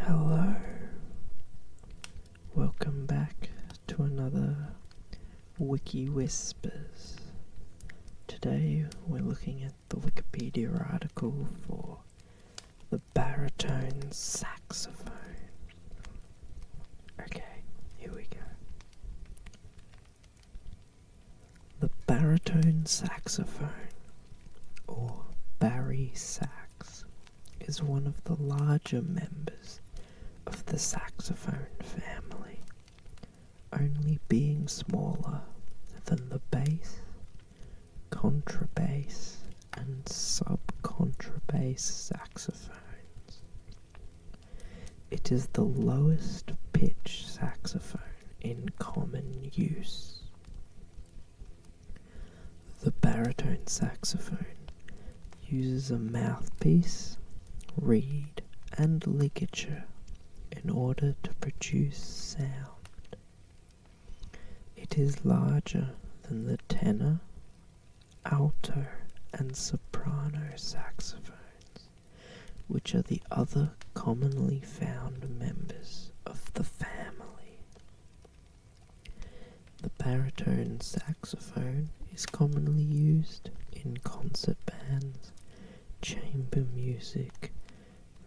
Hello, welcome back to another Wiki Whispers. Today we're looking at the Wikipedia article for the baritone saxophone. Okay, here we go. The baritone saxophone, or Barry sax, is one of the larger members of the saxophone family, only being smaller than the bass, contrabass, and subcontrabass saxophones. It is the lowest pitch saxophone in common use. The baritone saxophone uses a mouthpiece, reed, and ligature in order to produce sound. It is larger than the tenor, alto, and soprano saxophones which are the other commonly found members of the family. The baritone saxophone is commonly used in concert bands, chamber music,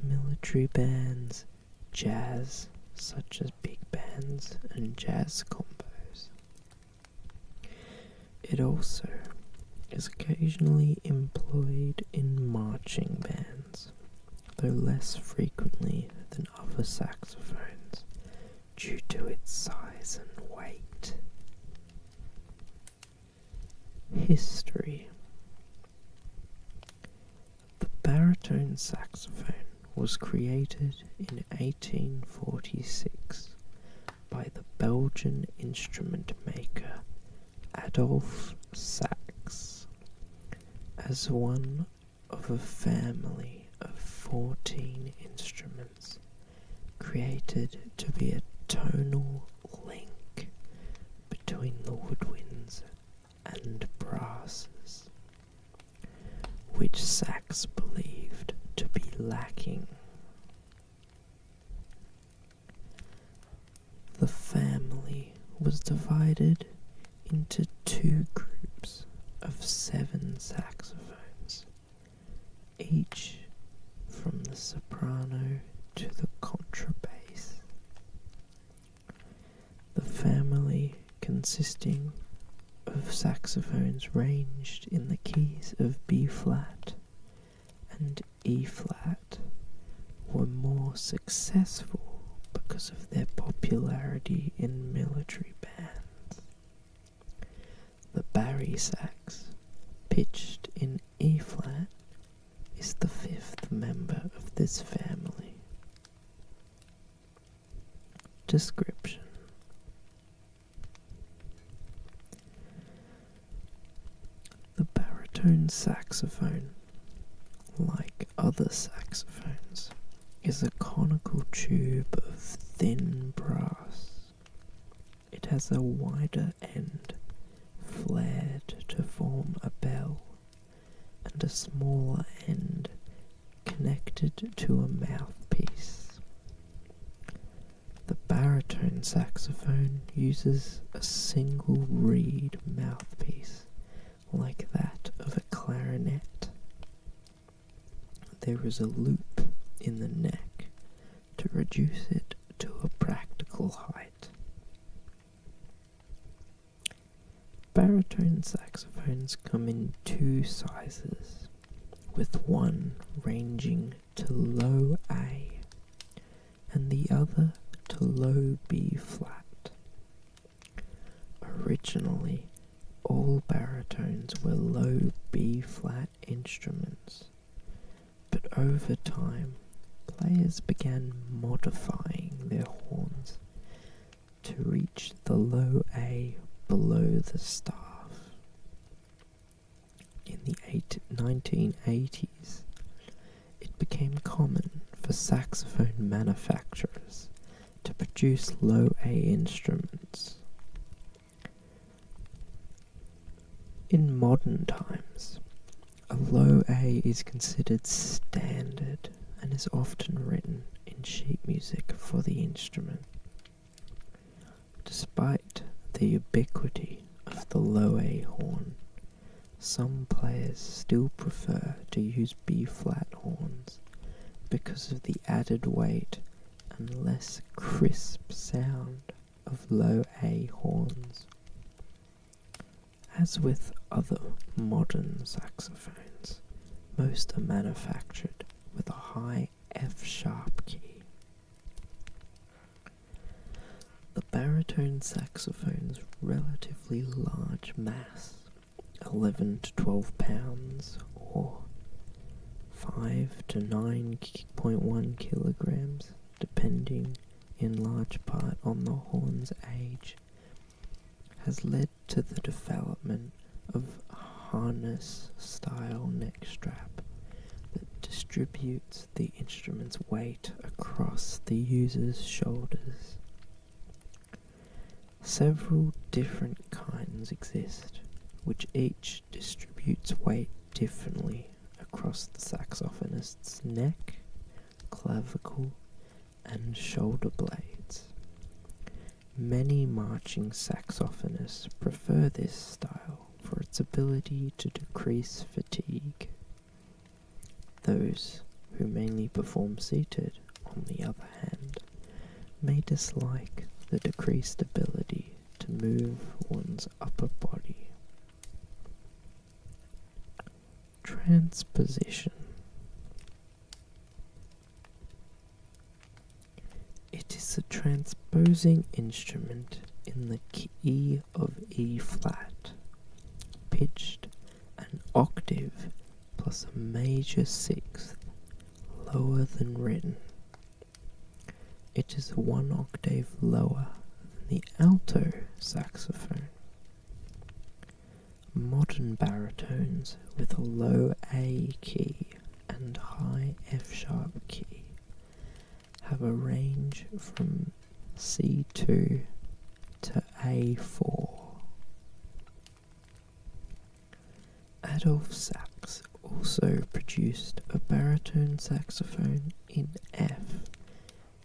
military bands, jazz, such as big bands and jazz combos. It also is occasionally employed in marching bands, though less frequently than other saxophones due to its size and weight. History The baritone saxophone was created in 1846 by the Belgian instrument maker Adolphe Sachs. As one of a family of 14 instruments created to be a tonal link between the woodwinds and brasses, which Sachs believed to be lacking. The family was divided into two groups of seven saxophones, each from the soprano to the contrabass. The family consisting of saxophones ranged in the keys of B flat and E flat were more successful because of their popularity in military bands. The Barry sax, pitched in E flat, is the fifth member of this family. Description the baritone saxophone, like other saxophones, is a conical tube of thin brass. It has a wider end, flared to form a bell, and a smaller end connected to a mouthpiece. The baritone saxophone uses a single reed mouthpiece like that of a clarinet. There is a loop in the neck to reduce it to a practical height. Baritone saxophones come in two sizes with one ranging to low A and the other to low B flat. Originally, all baritones were low B flat instruments, but over time, players began modifying their horns to reach the low A below the staff. In the eight, 1980s, it became common for saxophone manufacturers to produce low A instruments. In modern times, a low A is considered standard and is often written in sheet music for the instrument. Despite the ubiquity of the low A horn, some players still prefer to use B-flat horns because of the added weight and less crisp sound of low A horns. As with other modern saxophones, most are manufactured with a high F sharp key. The baritone saxophone's relatively large mass, 11 to 12 pounds or 5 to 9.1 kilograms, depending in large part on the horn's age, has led to the development of harness style neck strap that distributes the instrument's weight across the user's shoulders. Several different kinds exist, which each distributes weight differently across the saxophonist's neck, clavicle, and shoulder blades. Many marching saxophonists prefer this style for its ability to decrease fatigue. Those who mainly perform seated, on the other hand, may dislike the decreased ability to move one's upper body. Transposition it is a transposing instrument in the key of E flat, pitched an octave plus a major sixth lower than written. It is one octave lower than the alto saxophone. Modern baritones with a low A key and high F sharp key have a range from C2 to A4. Adolf Sax also produced a baritone saxophone in F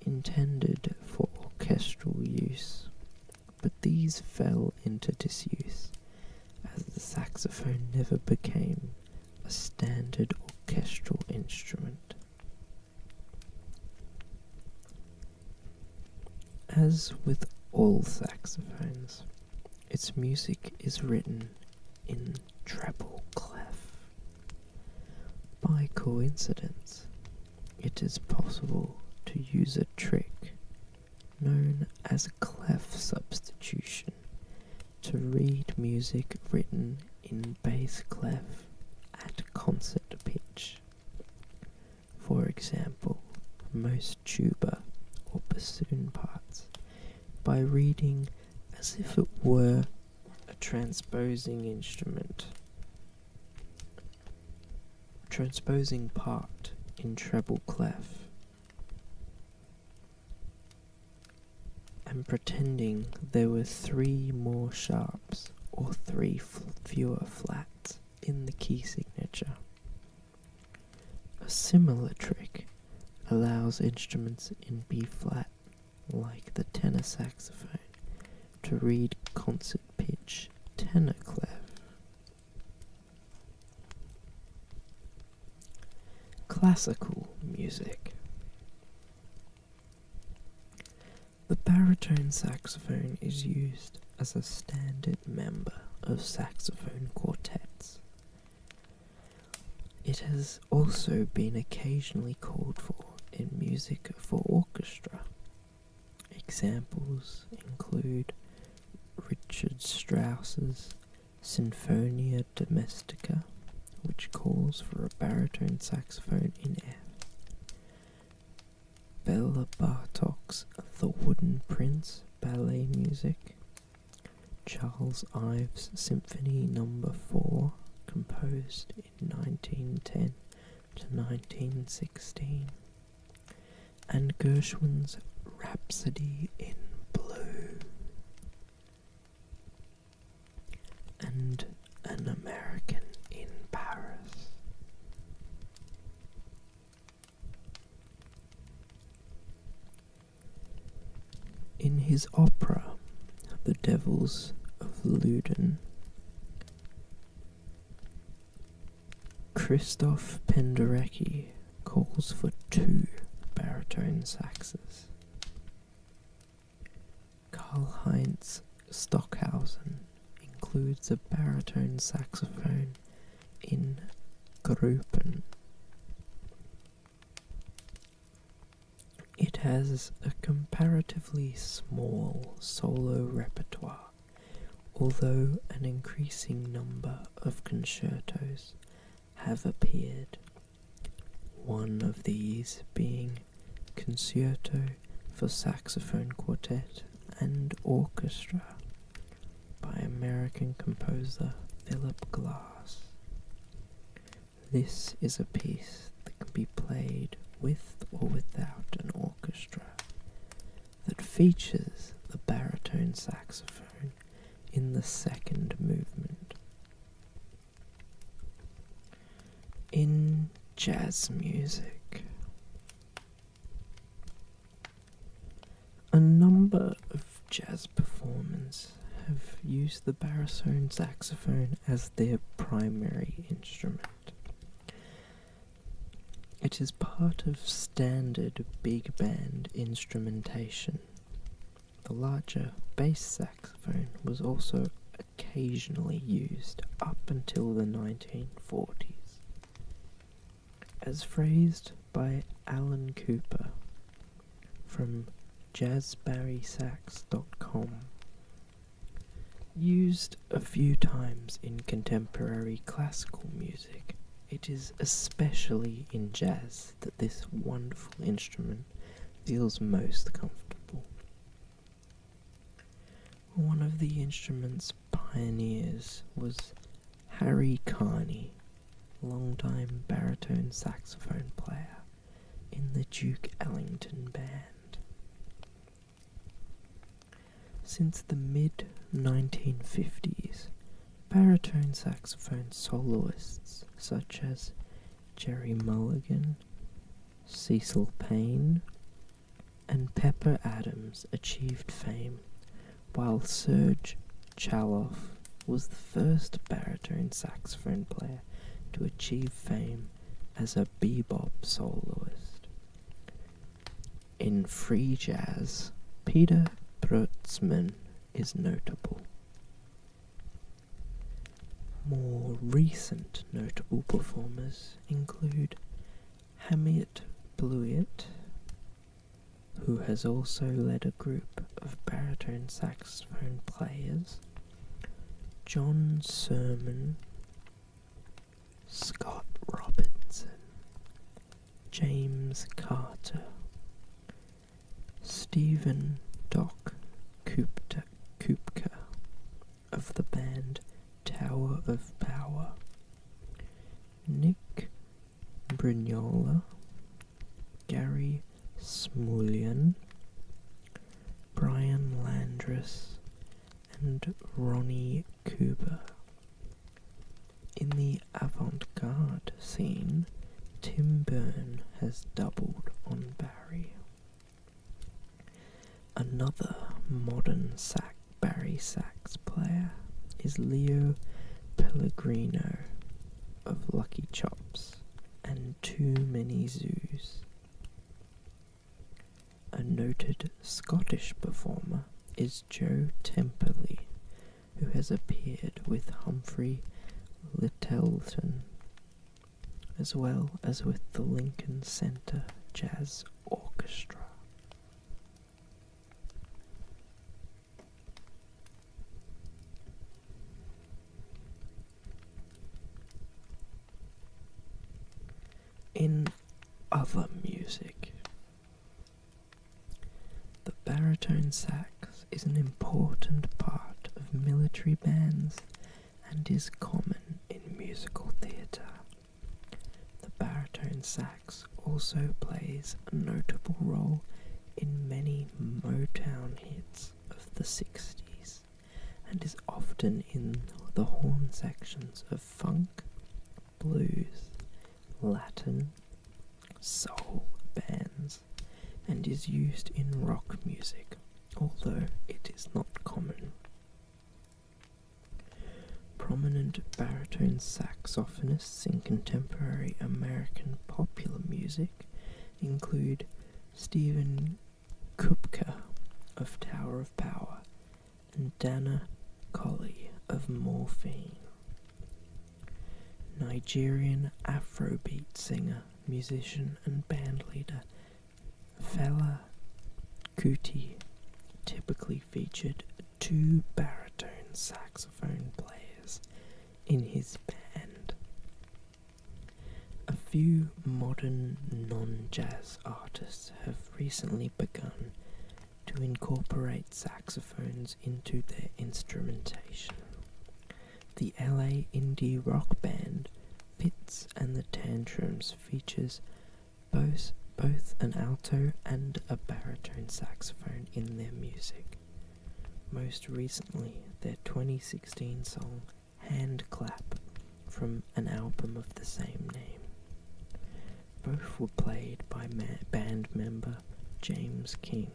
intended for orchestral use but these fell into disuse, as the saxophone never became a standard orchestral instrument. As with all saxophones, its music is written in treble clef. By coincidence, it is possible to use a trick known as a clef substitution, to read music written in bass clef at concert pitch. For example, most tuba or bassoon parts by reading as if it were a transposing instrument transposing part in treble clef, and pretending there were three more sharps or three fewer flats in the key signature. A similar trick allows instruments in B flat, like the tenor saxophone, to read concert pitch tenor clef Classical music. The baritone saxophone is used as a standard member of saxophone quartets. It has also been occasionally called for in music for orchestra Examples include Richard Strauss's Sinfonia Domestica, which calls for a baritone saxophone in F, Bela Bartok's The Wooden Prince ballet music, Charles Ives Symphony Number no. 4, composed in 1910 to 1916 and Gershwin's Rhapsody in Blue, and An American in Paris. In his opera, The Devils of Loudun. Christoph Penderecki calls for two baritone saxes. Karlheinz Stockhausen includes a baritone saxophone in Gruppen. It has a comparatively small solo repertoire although an increasing number of concertos have appeared, one of these being Concerto for Saxophone Quartet and Orchestra by American composer Philip Glass. This is a piece that can be played with or without an orchestra orchestra that features the baritone saxophone in the second movement. In jazz music, a number of jazz performers have used the baritone saxophone as their primary instrument. It is part of standard big band instrumentation. The larger bass saxophone was also occasionally used up until the 1940s. As phrased by Alan Cooper from jazzbarrysax.com, Used a few times in contemporary classical music, it is especially in jazz that this wonderful instrument feels most comfortable. One of the instrument's pioneers was Harry Carney, longtime baritone saxophone player in the Duke Ellington Band. Since the mid 1950s, baritone saxophone soloists such as Jerry Mulligan, Cecil Payne, and Pepper Adams achieved fame, while Serge Chaloff was the first baritone saxophone player to achieve fame as a bebop soloist. In free jazz, Peter Brutzmann is notable. More recent notable performers include Hamiet Blewett, who has also led a group of baritone saxophone players John Sermon, Scott Robinson, James Carter, Stephen Doc Kupta Kupka of the band Tower of Power, Nick Brignola, Gary Smulian, Brian Landris, and Ronnie Cooper. In the avant garde scene, Tim Byrne has doubled on Barry. Another modern sax, Barry sax player is Leo Pellegrino of Lucky Chops and Too Many Zoos. A noted Scottish performer is Joe Temperley, who has appeared with Humphrey Lyttelton, as well as with the Lincoln Center Jazz Orchestra. In other music, the baritone sax is an important part of military bands and is common in musical theatre. The baritone sax also plays a notable role in many Motown hits of the 60s and is often in the horn sections of funk, blues, Latin, soul bands, and is used in rock music, although it is not common. Prominent baritone saxophonists in contemporary American popular music include Stephen Kupka of Tower of Power, and Dana Colley of Morphine. Nigerian Afrobeat singer, musician, and bandleader Fela Kuti typically featured two baritone saxophone players in his band. A few modern non jazz artists have recently begun to incorporate saxophones into their instrumentation. The LA indie rock band Fits and the Tantrums features both both an alto and a baritone saxophone in their music. Most recently, their 2016 song Hand Clap from an album of the same name. Both were played by band member James King.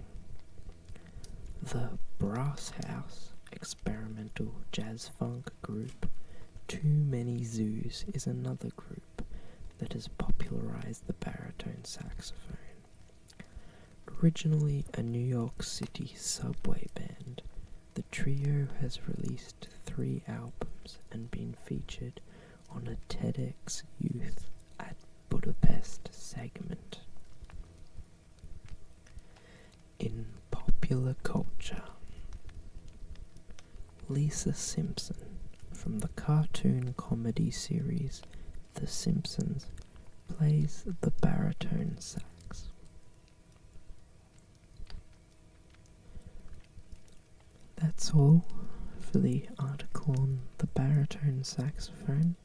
The Brass House experimental jazz funk group Too Many Zoos is another group that has popularized the baritone saxophone. Originally a New York City subway band, the trio has released three albums and been featured on a TEDx Youth at Budapest segment. In popular culture, Lisa Simpson from the cartoon comedy series The Simpsons plays the baritone sax. That's all for the article on the baritone saxophone.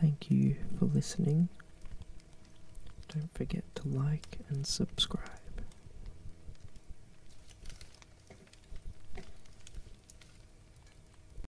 Thank you for listening. Don't forget to like and subscribe.